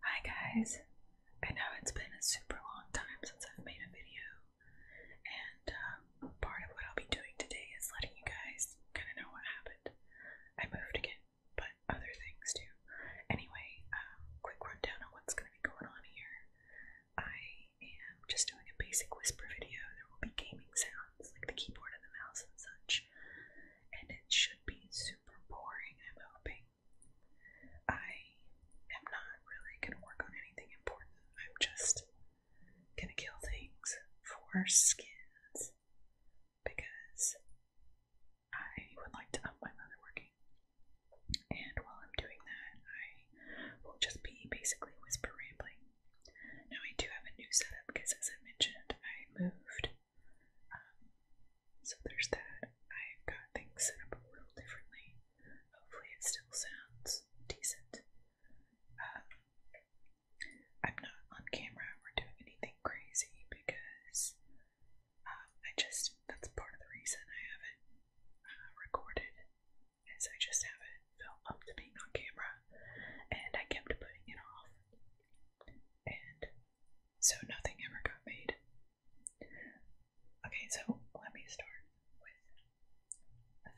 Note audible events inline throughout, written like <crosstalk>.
Hi guys, I know it's been a super long time since I've made a video, and um, part of what I'll be doing today is letting you guys kind of know what happened. I moved again, but other things too. Anyway, um, quick rundown on what's going to be going on here. I i am just doing a basic whisper video. There will be gaming sounds like the keyboard and the mouse and such, and it should be super boring, I'm hoping. I am not really going to work on anything important, I'm just going to kill things for skins because I would like to have my mother working. And while I'm doing that, I will just be basically whisper rambling. Now I do have a new setup because, as I mentioned, I moved. Um, so there's that. I've got things set up a little differently. Hopefully, it still sounds decent. Um, I'm not on camera or doing anything crazy because um, I just, that's part of the reason I haven't uh, recorded as I just haven't felt up to being on camera, and I kept putting it off. And so nothing ever got made. Okay, so let me start with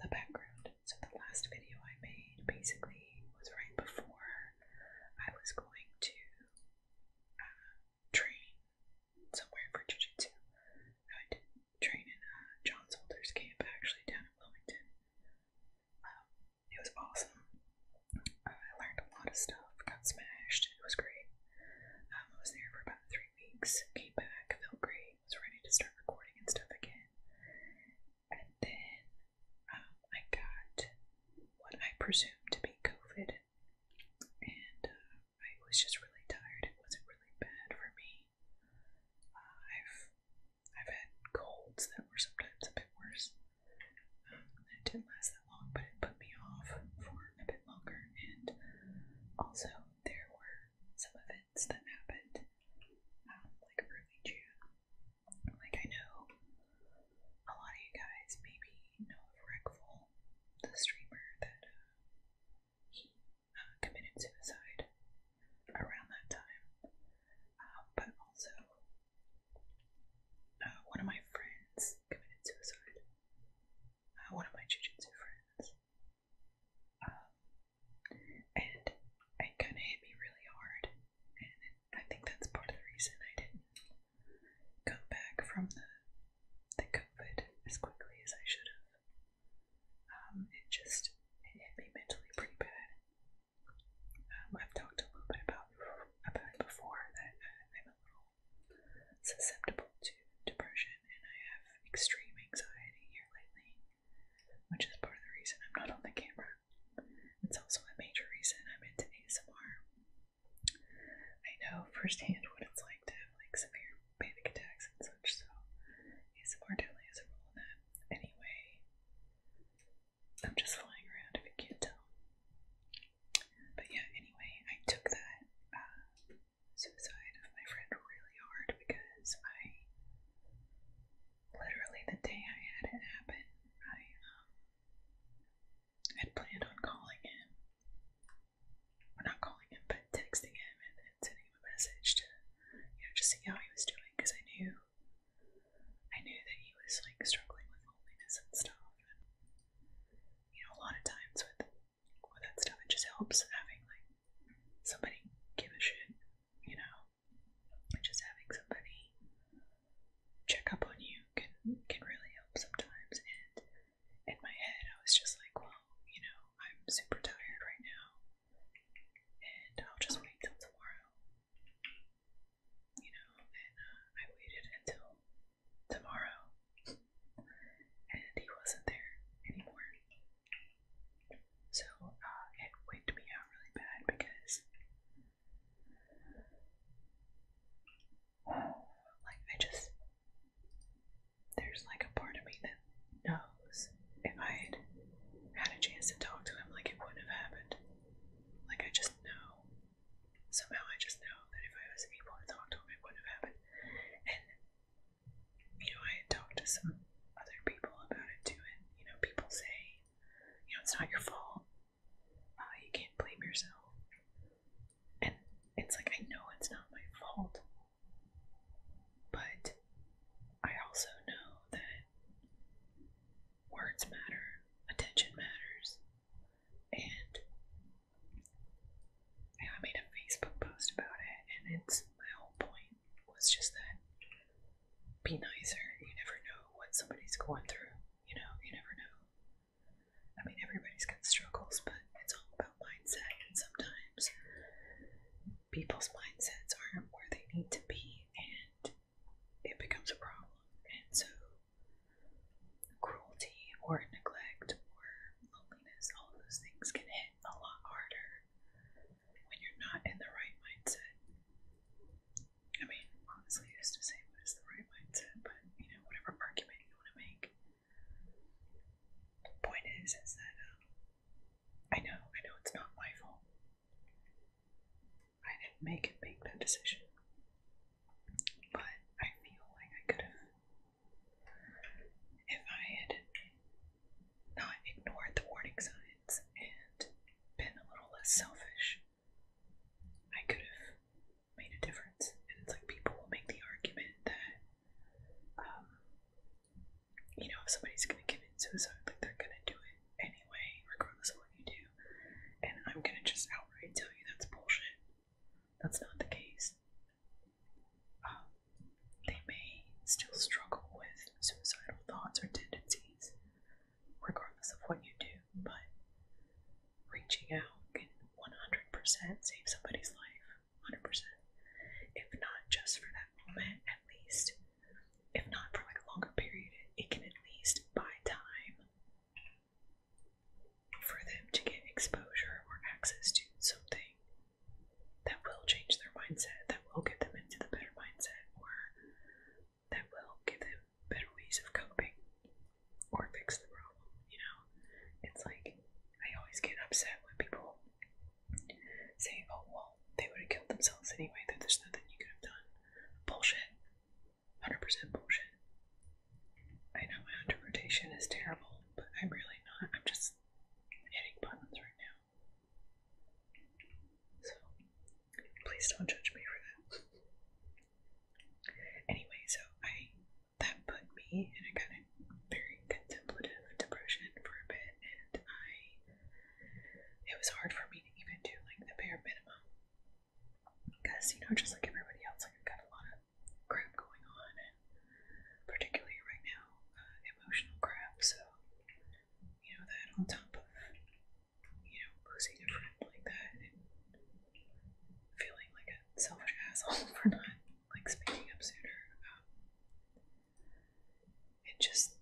the background. So the last video I made basically was right before I was going to uh, train somewhere for jujitsu. I train in uh, John Solder's camp actually down in Wilmington. Um, it was awesome. I learned a lot of stuff, got smashed, it was great. Um, I was there for about three weeks, came back, felt great, was ready to start recording and stuff again. And then um, I got what I presumed to be COVID, and uh, I was just really tired. It wasn't really bad for me. I've I've had colds that were sometimes a bit worse. it um, didn't last that long, but it put me off for a bit longer. And also, there were some events that happened um, like early June. Like I know a lot of you guys maybe know of the streamer that. Uh, uh, committed suicide around that time. Um, but also, uh, one of my friends committed suicide. Uh, one of my jujitsu friends. Um, and it kind of hit me really hard. And it, I think that's part of the reason I didn't come back from the, the COVID as quickly as I should have. Um, it just hit me mentally pretty bad. Um, I've talked a little bit about about before that I'm a little susceptible to depression, and I have extreme anxiety here lately, which is part of the reason I'm not on the camera. It's also a major reason I'm into ASMR. I know firsthand what it's like to have like severe panic attacks and such, so ASMR definitely has a rule in that. Anyway, I'm just flying around if you can't tell. But yeah, anyway, I took that uh, suicide of my friend really hard because I literally the day I had it happen, I um, had planned on calling him. Well, not calling him, but texting him and, sending a message to, you know, just see how he was doing because I knew, I knew that he was like struggling with loneliness and stuff. you know, a lot of times with with that stuff, it just helps having like somebody give a shit, you know, just having somebody check up on you can can really help sometimes. And in my head, I was just like, well, you know, I'm super tired right now and I'll just wait till tomorrow. You know, and uh, I waited until tomorrow, and he wasn't there anymore. So uh, it wigged me out really bad because, like, I just there's like a part of me that knows if I had had a chance to talk to him, like it wouldn't have happened. Like I just know. Somehow I just know that if I was able to talk to him, it wouldn't have happened. And you know, I had talked to some other people about it too, and you know, people say, you know, it's not your fault. Uh, you can't blame yourself. And it's like I know it's not my fault, but I also know that words matter, attention matters, and I made a Facebook post about it, and it's my whole point was just that be nicer. You never know what somebody's going through. You know, you never know. I mean, everybody's got struggles, but it's all about mindset, and sometimes people's mindsets aren't where they need to be and it becomes a problem. And so cruelty or neglect or loneliness, all of those things can hit a lot harder when you're not in the right mindset. I mean, honestly, it's to say what is the right mindset, but you know, whatever argument you want to make. The point is, is that um, I know, I know it's not my fault. I didn't make it make that decision. But I feel like I could have if I had not ignored the warning signs and been a little less selfish, I could have made a difference. And it's like people will make the argument that um, you know, if somebody's gonna commit suicide, like they're gonna do it anyway, regardless of what you do. And I'm gonna just outright tell you that's bullshit. That's not the case. Um, they may still struggle with suicidal thoughts or tendencies, regardless of what you do, but reaching out can 100% save somebody's life. 100%. If not just for that moment, at least if not for like a longer period, it can at least buy time for them to get exposure or access to something that will change their mindset, that will get them into the better mindset, or that will give them better ways of coping or fix the problem, you know? It's like I always get upset when people saying, oh, well, they would have killed themselves anyway, there's nothing you could have done. Bullshit. 100% bullshit. I know my interpretation is terrible, but I'm really not. I'm just hitting buttons right now. So, please don't judge me for that. Anyway, so I that put me in a kind of very contemplative depression for a bit, and I it was hard for me to even do like the bare minimum because you know just like everybody else like I've got a lot of crap going on and particularly right now uh, emotional crap so you know that on top of you know losing a friend like that and feeling like a selfish asshole <laughs> for not like speaking up sooner um, it just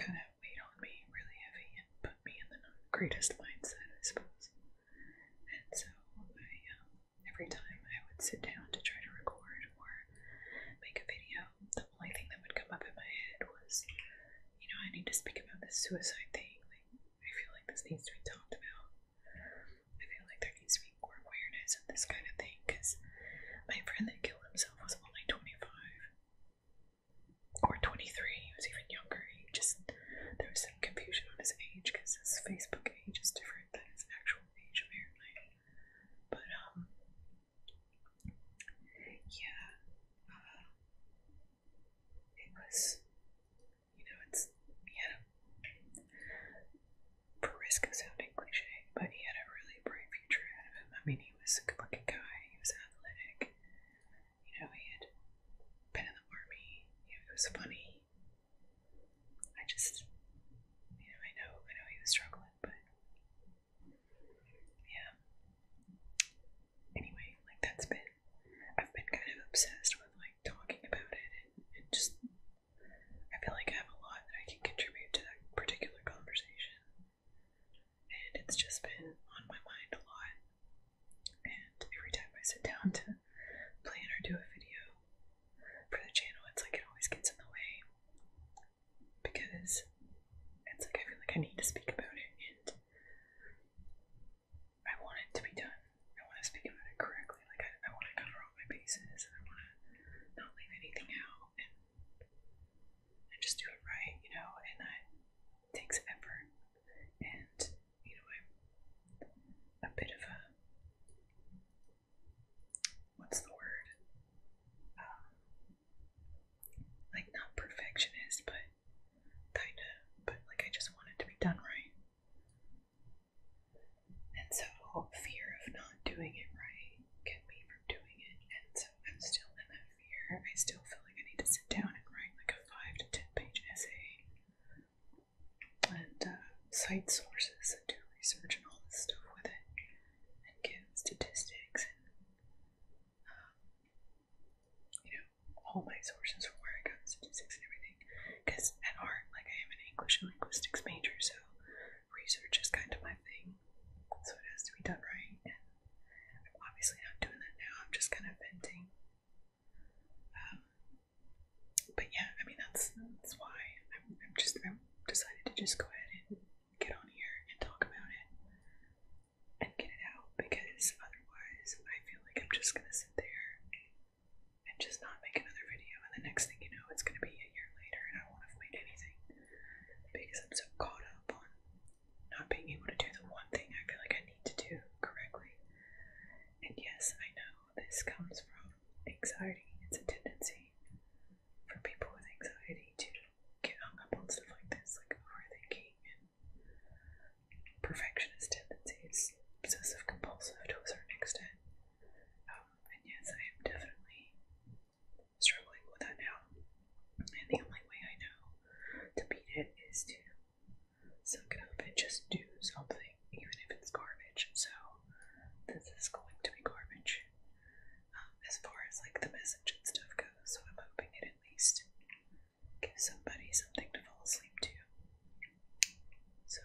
kind of weighed on me really heavy and put me in the not greatest mindset, I suppose. And so I, um, every time I would sit down to try to record or make a video, the only thing that would come up in my head was, you know, I need to speak about this suicide thing. Like, I feel like this needs to be talked about. I feel like there needs to be more awareness of this kind of thing because my friend that killed himself was only 25 or 23, he was even younger. He just, there was some confusion on his age because his Facebook age is different than his actual age, apparently. But, um, yeah, uh, it was, you know, it's, he had for risk of sounding cliche, but he had a really bright future ahead of him. I mean, he was a good looking guy, he was athletic, you know, he had been in the army, you know, he was funny. I just, you know, I know, I know he was struggling, but yeah. Anyway, like that's been, I've been kind of obsessed with like talking about it and just, I feel like I have a lot that I can contribute to that particular conversation and it's just been on my mind a lot. And every time I sit down to plan or do a video for the channel, it's like it always gets in the way because it's like I feel like I need to speak about it and I want it to be done. I want to speak about it correctly. Like, I, want to cover all my bases and I want to not leave anything out and just do it right, you know, and that takes effort. And, you know, I'm a bit of a what's the word? Um, like, not perfectionist, but kinda, but like, I just want it to be done right. And so, fear of not doing it right get me from doing it. And so I'm still in that fear. I still feel like I need to sit down and write like a five to ten page essay and uh, cite sources and do research and all this stuff with it and give statistics and um, you know all my sources from where I got statistics and everything. Because at art, like I am an English and linguistics major, so research is kind of my thing. So it has to be done right, and I'm obviously not doing that now, I'm just kind of venting. Um, but yeah, I mean, that's, that's why I'm, I'm just, I decided to just go ahead and get on here and talk about it and get it out because otherwise I feel like I'm just gonna sit there and just not make another video, and the next thing you know, it's gonna be a year later, and I won't have made anything because I'm so caught up on not being able to do the one thing I feel like I need to do correctly. And yes, I know this comes from anxiety. It's a tendency for people with anxiety to get hung up on stuff like this, like overthinking and perfectionist tendencies, obsessive compulsive to a certain extent. Um, and yes, I am definitely struggling with that now. And the only way I know to beat it is to suck just do something, even if it's garbage. So this is going to be garbage. Um, as far as like the message and stuff goes, so I'm hoping it at least gives somebody something to fall asleep to. So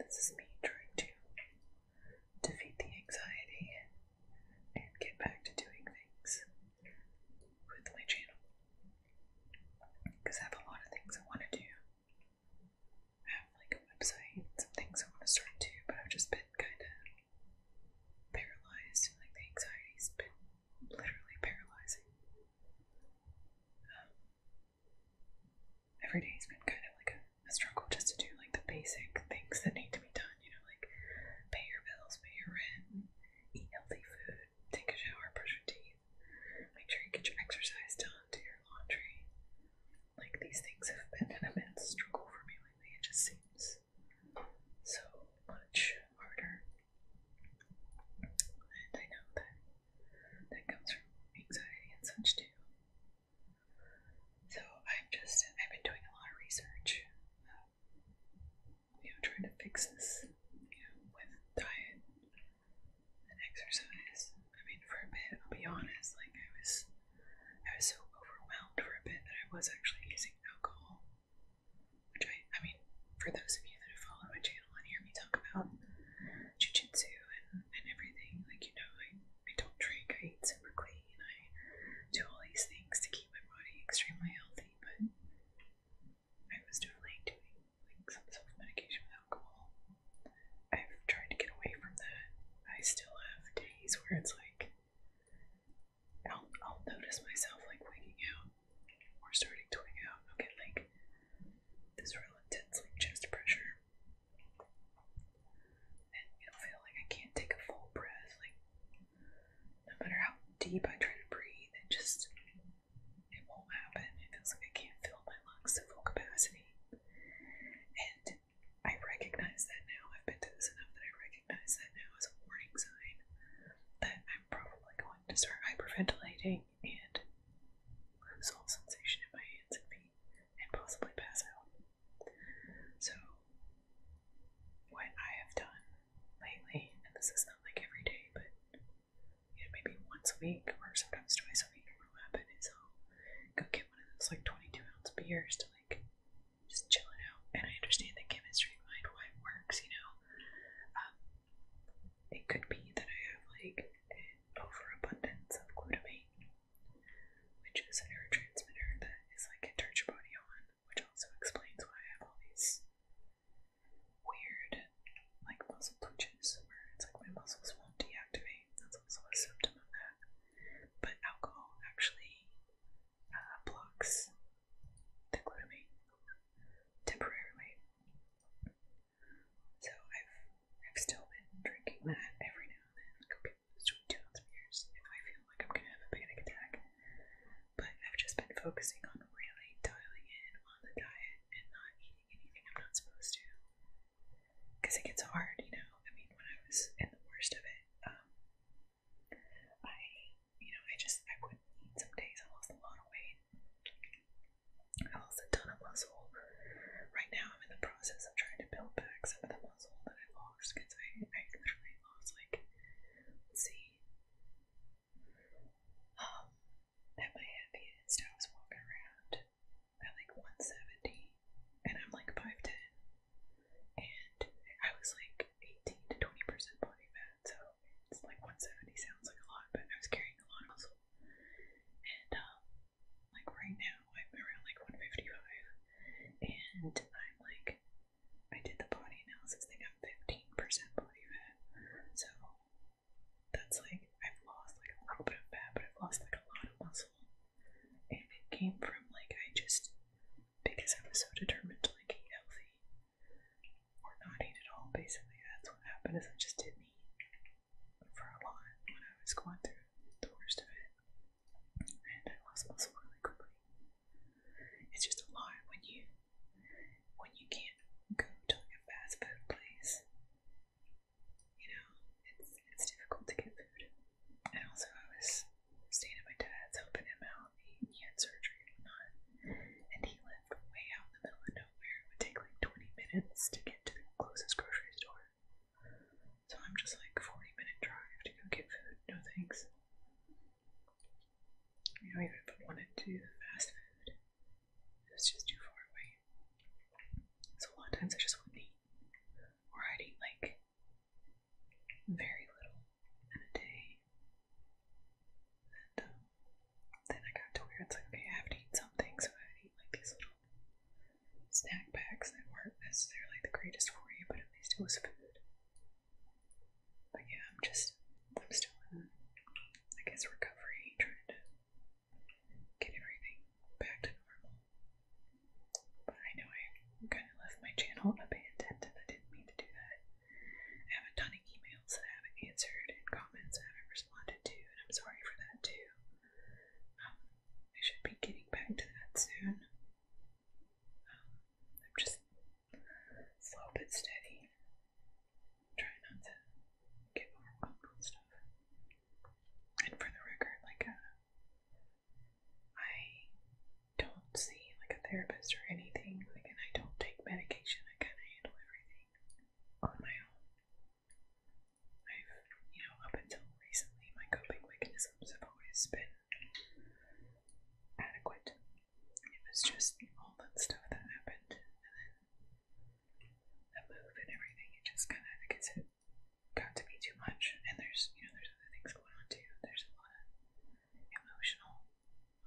this is me trying to defeat the anxiety and get back to doing things with my channel. Because I have a lot of things I want to do. I have like a website, some things I want to start to, but I've just been kind of paralyzed and like the anxiety's been literally paralyzing. Um, every day's been kind of like a struggle just to do like the basic things that need to be done, you know know, like pay your bills, pay your rent, eat healthy food, take a shower, brush your teeth, make sure you get your exercise done, do your laundry. Like these things have been an immense struggle for me lately. It just seems so much harder. And I know that that comes from anxiety and such too. So I'm just I've been doing a lot of research. Uh, you know, trying to fix this, you know, with diet and exercise. I mean, for a bit, I'll be honest, like I was, I was so overwhelmed for a bit that I was actually using alcohol, which I, I mean, for those of you that have followed my channel and hear me talk about jiu jitsu and and everything, like you know, I I don't drink, I eat super clean clean. I do all these things to keep my body extremely healthy, but I was definitely doing like some self of medication with alcohol. I've tried to get away from that. I still have days where it's like I'll I'll notice myself like waking out or starting to wake out. I'll get like this real intense like chest pressure. And it'll feel like I can't take a full breath, like no matter how deep I try to breathe, it just it won't happen. It feels like I can't fill my lungs to full capacity. And I recognize that now. I've been to this enough that I recognize that now as a warning sign that I'm probably going to start hyperventilating and lose all sensation in my hands and feet and possibly pass out. So, what I have done lately, and this is not like every day, but maybe once a week or sometimes twice a week, what'll happen is i go get one of those like 22 ounce beers to like just chill it out. And I understand the chemistry behind why it works, you know. Um, it could be that I have like an overabundance of glutamate, which is a neurotransmitter that is like a turns your body on which also explains why I have all these weird, like, muscle twitches where it's like my muscles won't deactivate. That's also a symptom of that. But alcohol actually uh, blocks the glutamate temporarily. So I've I've still been drinking that every now and then between two and three years if I feel like I'm gonna have a panic attack. But I've just been focusing on really dialing in on the diet and not eating anything I'm not supposed to. Because it gets hard, you know. I mean, when I was in the worst of it, um, I, you know, I just I wouldn't eat some days. I lost a lot of weight. I lost a ton of muscle. Right now, I'm in the process of trying to build back some of the muscle that I lost because I, I literally lost like see. Um at my heaviest I was walking around at like 170 and I'm like 5'10 and I was like 18 to 20 percent body fat so it's like 170 sounds like a lot but I was carrying a lot of muscle and um like right now I'm around like 155 and I'm like I did the body analysis, they got 15% body fat. So that's like, I've lost like a little bit of fat, but I've lost like a lot of muscle. And it came from like, I just, because I was so determined to like eat healthy or not eat at all, basically, that's what happened is I just didn't eat for a lot when I was going through the worst of it and I lost muscle really quickly. It's just a lie when you when you can't go to a fast food place. You know, it's it's difficult to get food. And also I was staying at my dad's helping him out. He, he surgery and he lived way out in the middle of nowhere. It would take like twenty minutes to get to the closest grocery store. So I'm just like forty minute drive to go get food, no thanks. I don't even want to do fast food. It's just too far away. So a lot of times I just wouldn't eat. Or I'd eat like very little in a day. And um, then I got to where it's like, okay, I have to eat something, so I would eat like these little snack packs that weren't necessarily the greatest for you, but at least it was food. But yeah, I'm just, I'm still in, I guess, recovery, trying to get everything back to normal. But I know I kind of left my channel abandoned and I didn't mean to do that. I have a ton of emails that I haven't answered and comments I haven't responded to, and I'm sorry for that too. Um, I should be getting back to that soon. I'm just slow but steady. Try not to get overwhelmed with stuff. And for the record, like, uh, I don't see like a therapist or anything. Like, I don't take medication. I kind of handle everything on my own. I've, you know, up until recently, my coping mechanisms have always been adequate. It was just all that stuff that happened, and then the move and everything. It just kind of gets it got to be too much, and there's you know there's other things going on too. There's a lot of emotional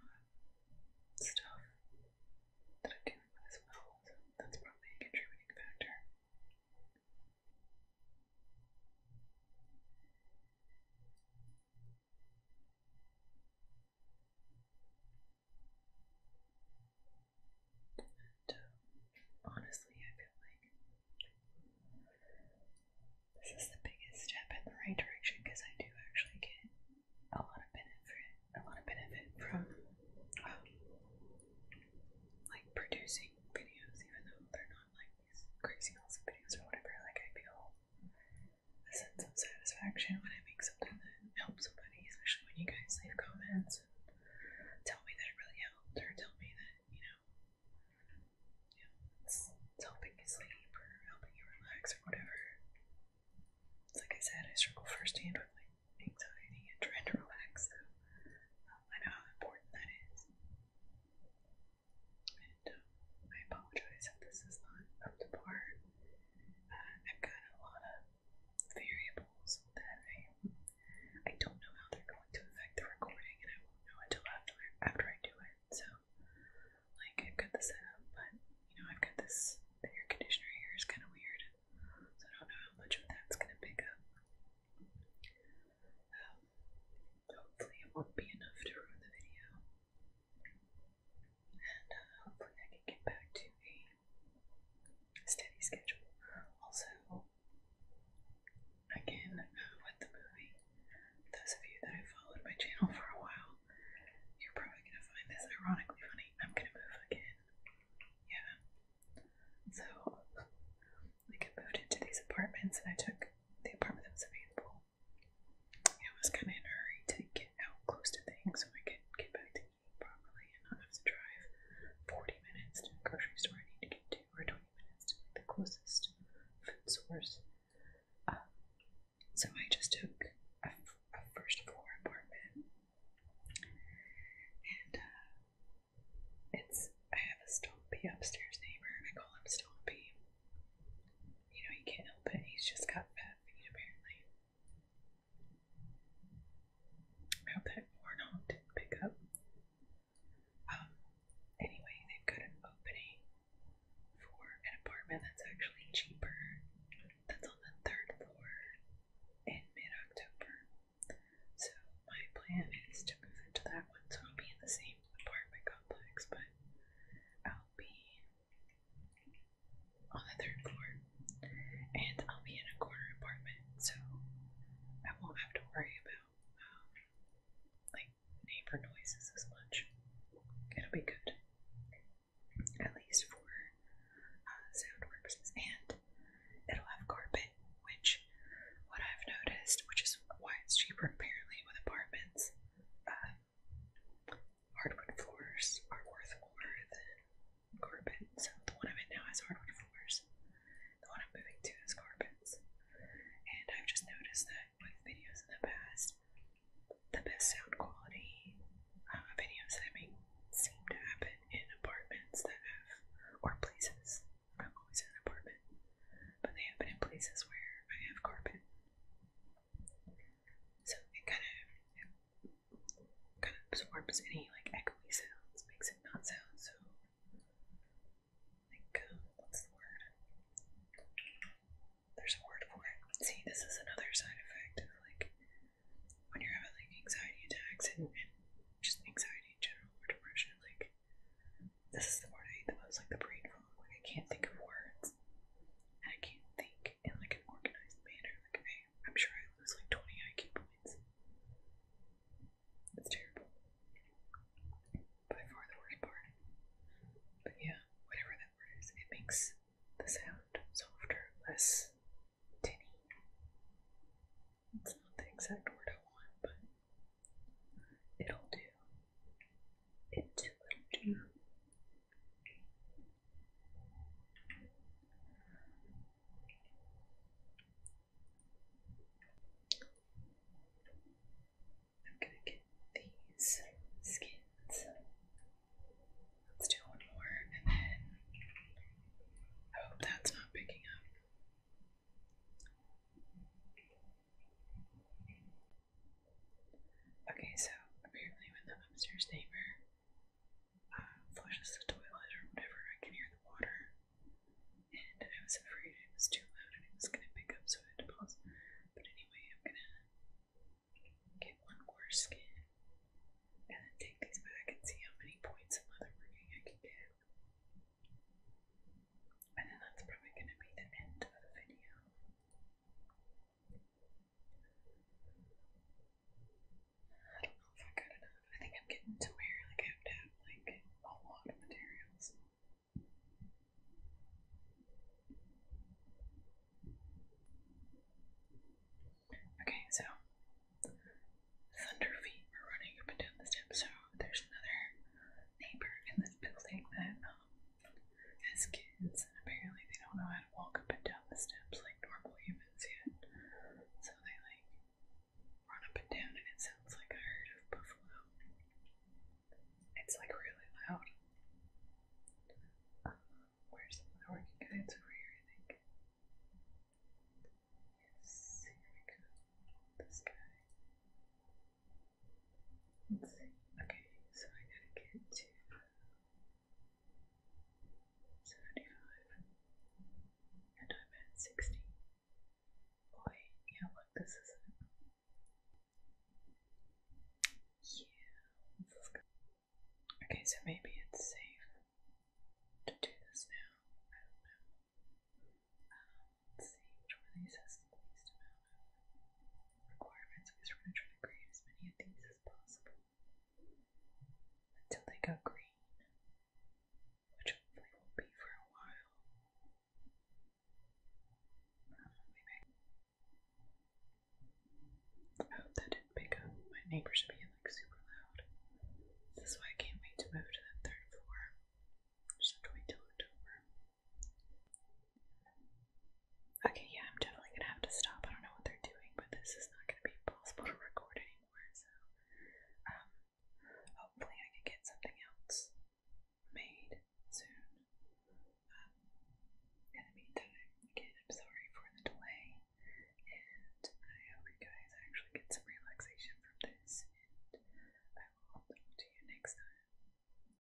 uh, stuff that I'm dealing with as well, so that's probably a contributing factor honestly, I feel like this is the biggest step in the right direction because I do actually get a lot of benefit, a lot of benefit from um, like producing videos, even though they're not like these crazy awesome videos or whatever. Like I feel a sense of satisfaction when I make something that helps somebody, especially when you guys leave comments and tell me that it really helped, or tell me that, you know, you it's, helping you sleep or helping you relax or whatever. Like I said, I struggle firsthand with like anxiety and trying to relax, so um, I know how important that is. I apologize if this is not up to par. Uh, I've got a lot of variables that I don't know how they're going to affect the recording, and I won't know until after after I do it. So, like, I've got the setup, but you know, I've got this. The conditioner here is kind of weird, so I don't know how much of that's going to pick up. Um, hopefully it won't be enough to ruin the video. And uh, hopefully I can get back to a steady schedule. Also, again, uh, with the movie, those of you that have followed my channel <laughs> for a while, you're probably going to find this ironically funny. I'm going to move again. Yeah. So, like, I moved into these apartments and I took the apartment that was available I was kind of in a hurry to get out close to things so I could get back to eating properly and not have to drive 40 minutes to the grocery store I need to get to, or 20 minutes to the closest food source. Um, so I just took a, a first floor apartment, and uh, it's I have a stumpy upstairs neighbor. I call him Stumpy you know, he can't help it. He's just got fat feet, apparently. I hope that warthog didn't pick up. Um, anyway, they've got an opening for an apartment that's actually cheaper. That's on the third floor in mid October. So, my plan is to move into that one so it'll be in the same apartment complex, but I'll be on the third floor and I'll be in a corner apartment, so I won't have to worry about um, like neighbor noises as much. It'll be good, at least for uh, sound purposes, and it'll have carpet, which what I've noticed, which is why it's cheaper apparently with apartments. Um, hardwood floors are worth more than carpet. So the one I'm in now has hardwood floors. The one I'm moving to is carpets. And I've just noticed that with videos in the past, the best sound quality uh, videos that I make seem to happen in apartments that have, or places. I'm always in an apartment but they have in places where I have carpet. So it kind of kind of absorbs any like echoey sounds, makes it not sound so like um, what's the word? There's a word for it. See, this is another side effect of like when you're having like anxiety attacks and, and just anxiety in general or depression, like this is the word I hate the most, like the brain fog. Like I can't think of words. I can't think in like an organized manner. Like I, I'm sure I lose like 20 IQ points. It's terrible. By far the worst part. But yeah, whatever that word is, it makes the sound softer, less tinny. It's not the exact word I want, but it'll do it will do. I'm going to get these skins. Let's do one more and then I hope that's not picking up. Okay, so apparently when the upstairs neighbor uh, flushes the toilet or whatever, I can hear the water. And I was afraid it was too loud and I was gonna pick up, so I had to pause. But anyway, I'm gonna get one more skin and then take these back and see how many points of leatherworking I can get. And then that's probably gonna be the end of the video. I don't know if I got enough. I think I'm getting to like I have to have like a lot of materials. Okay, so thunder feet were running up and down the steps, so there's another neighbor in this building that um, as kids, and apparently they don't know how to walk up and down the steps like normal humans yet. So they like run up and down, and it sounds like a herd of buffalo. It's like really loud. Um, where's the working guy? It's over here, I think. Yes, here we go. This guy. Let's see. Okay, so I gotta get to seventy-five, and I'm at sixty. Boy, yeah, look, this is it. Yeah, this is good. Okay, so maybe it's safe to do this now. I don't know. Um, let's see which these has the requirements we were trying to create as many of these as possible until they go green, which hopefully will be for a while. I oh, hope that didn't pick up. My neighbors are being like super loud. This is why I can't wait to move to the third floor. Just have to wait till October. Okay, yeah, I'm definitely gonna have to stop. I don't know what they're doing, but this is not gonna be possible to record anymore, so um, hopefully I can get something else made soon. in the meantime, again, I'm sorry for the delay, and I hope you guys actually get some relaxation from this, and I will talk to you next time.